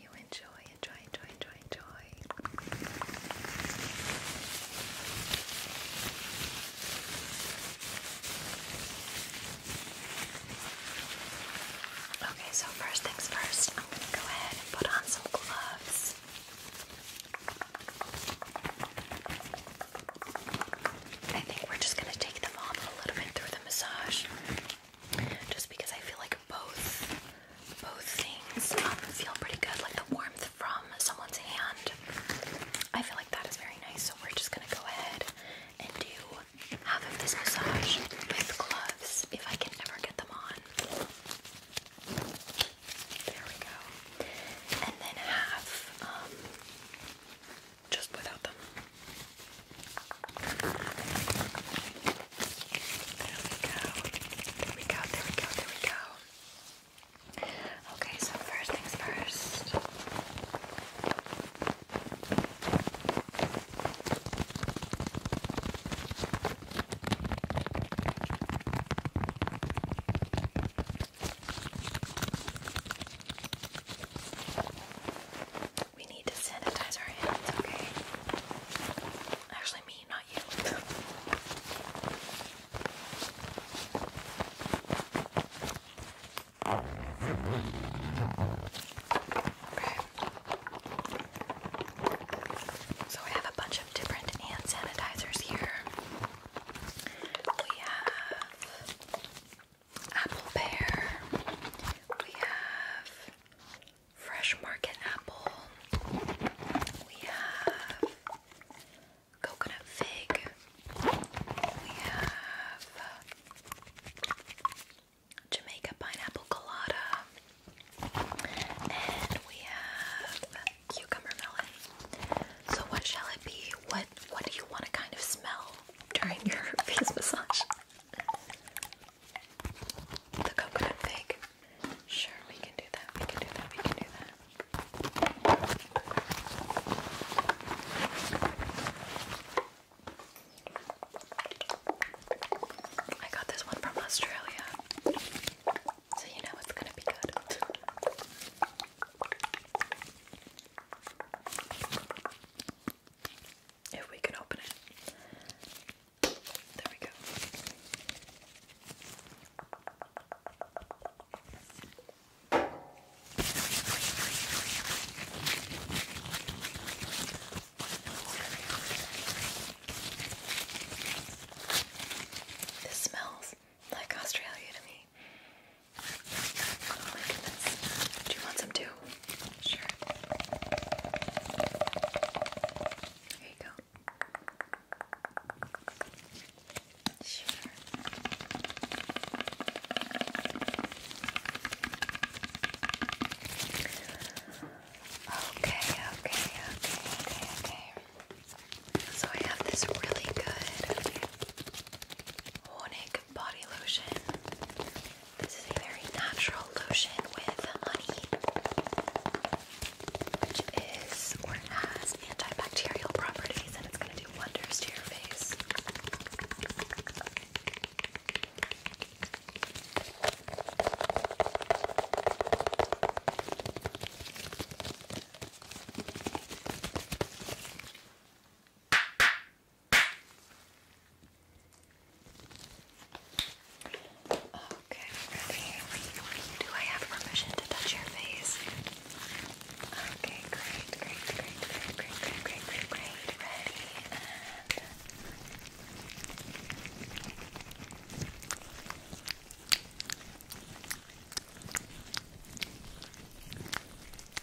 you enjoy, enjoy, enjoy, enjoy, enjoy. Okay, so first things first, I'm going to go ahead and put on some gloves. I think we're just going to take them off a little bit through the massage. Just because I feel like both both things um, feel pretty good, like the warmth from someone's hand. I feel like that is very nice, so we're just gonna go ahead and do half of this massage with gloves if I can ever get them on. There we go. And then half um, just without them. There we go. There we go. There we go. There we go. Okay, so first things first. We need to sanitize our hands, okay? Actually, me, not you. So we have a bunch of different hand sanitizers here. We have apple pear. We have fresh market apple. We have coconut fig. We have uh, Jamaica pineapple colada. And we have cucumber melon. So what shall it be? What what do you want to kind of smell during your face massage? The coconut fig. Sure, we can do that. We can do that. We can do that. I got this one from Australia. So you know it's going to be good if we can open it. There we go. This smells like Australia to me. Oh Do you want some too? Sure. Here you go. Sure. Okay, okay, okay, okay, okay. So I have this really good Honig body lotion. This is a very natural lotion with honey, which is or has antibacterial properties, and it's going to do wonders to your face. Okay, ready. Do I have permission to touch your face? Okay, great, great, great, great, great, great, great, great, great. Ready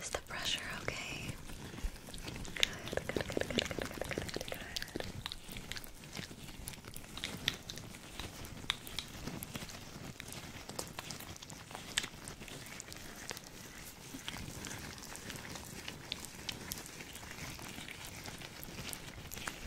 Is the pressure okay? Good, good, good, good, good, good, good,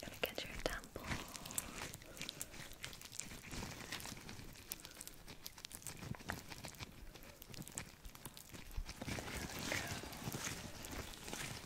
Gonna get your temple. There we go.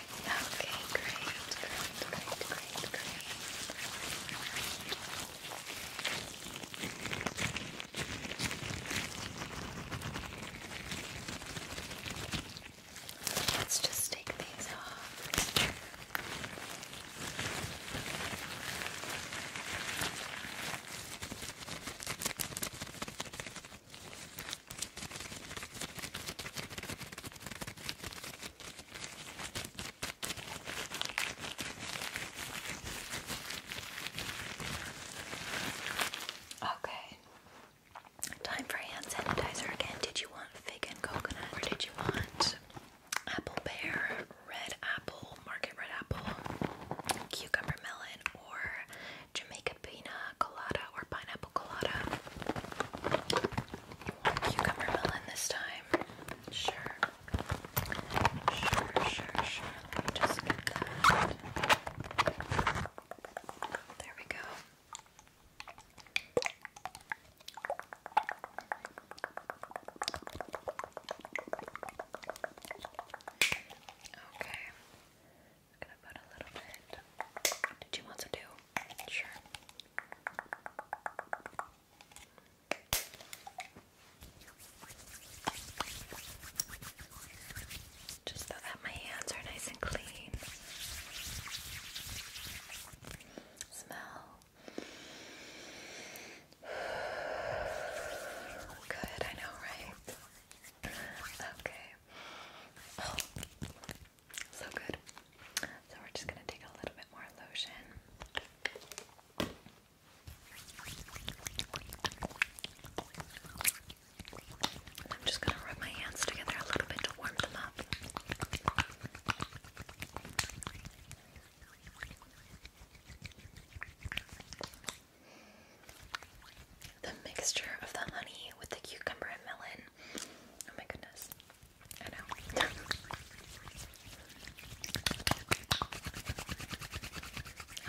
Okay, great, great, great, great, great. Let's just take these off. Okay. Time for hand sanitizer again. Did you want fig and coconut? Or did you want apple pear, red apple, market red apple, cucumber melon, or Jamaica pina colada or pineapple colada? cucumber melon this time. Sure. Sure, sure, sure. just get that. There we go. Okay. gonna put a little bit. Did you want to do? Sure. Just so that my hands are nice and clean. Smell. Good, I know, right? Okay. Oh. So good. So we're just going to take a little bit more lotion. I'm just going to rub my hands together a little bit to warm them up. The mixture of the honey with the cucumber and melon. Oh my goodness. I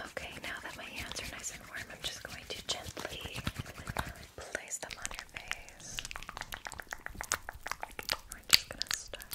okay, now that my hands are nice and warm, I'm just going to gently place them on your face. We're just going to start.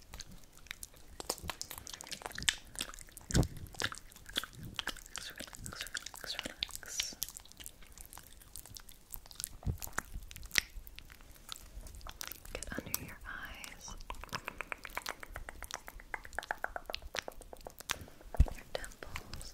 Relax, relax, relax. Get under your eyes. Your temples.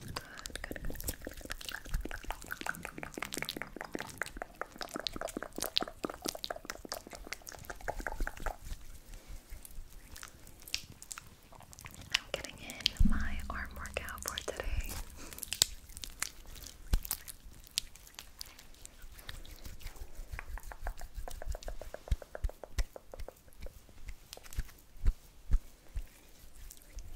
Good, good, I'm getting in my arm workout for today.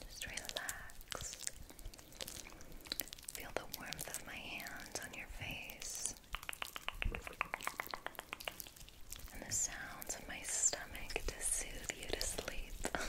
Just relax. Feel the warmth of my hands on your face. And the sounds of my stomach to soothe you to sleep.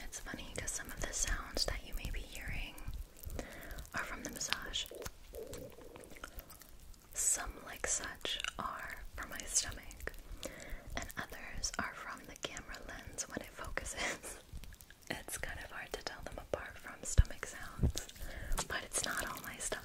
It's funny because some of the sounds that you may be hearing are from the massage. Some, like such, are from my stomach, and others are from the camera lens when it focuses. it's kind of hard to tell them apart from stomach sounds, but it's not all my stomach.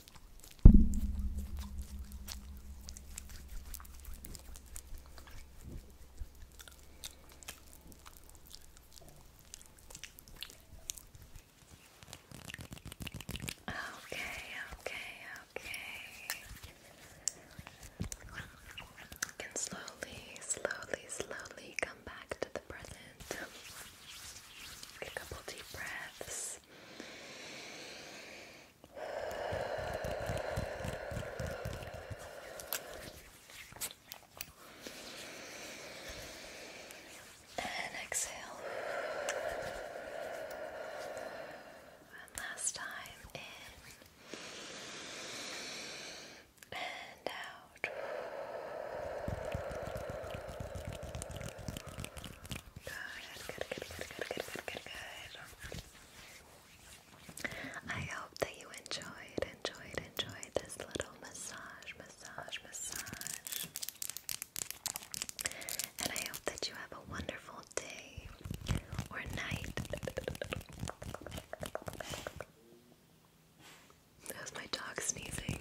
Okay, okay, okay. You can slowly, slowly, slowly come back to the present. Take a couple deep breaths this. And exhale. One last time in and out. Good, good, good, good, good, good, good, good. I hope that you enjoyed, enjoyed, enjoyed this little massage, massage, massage. And I hope that you have a wonderful day or night. That my dog sneezing.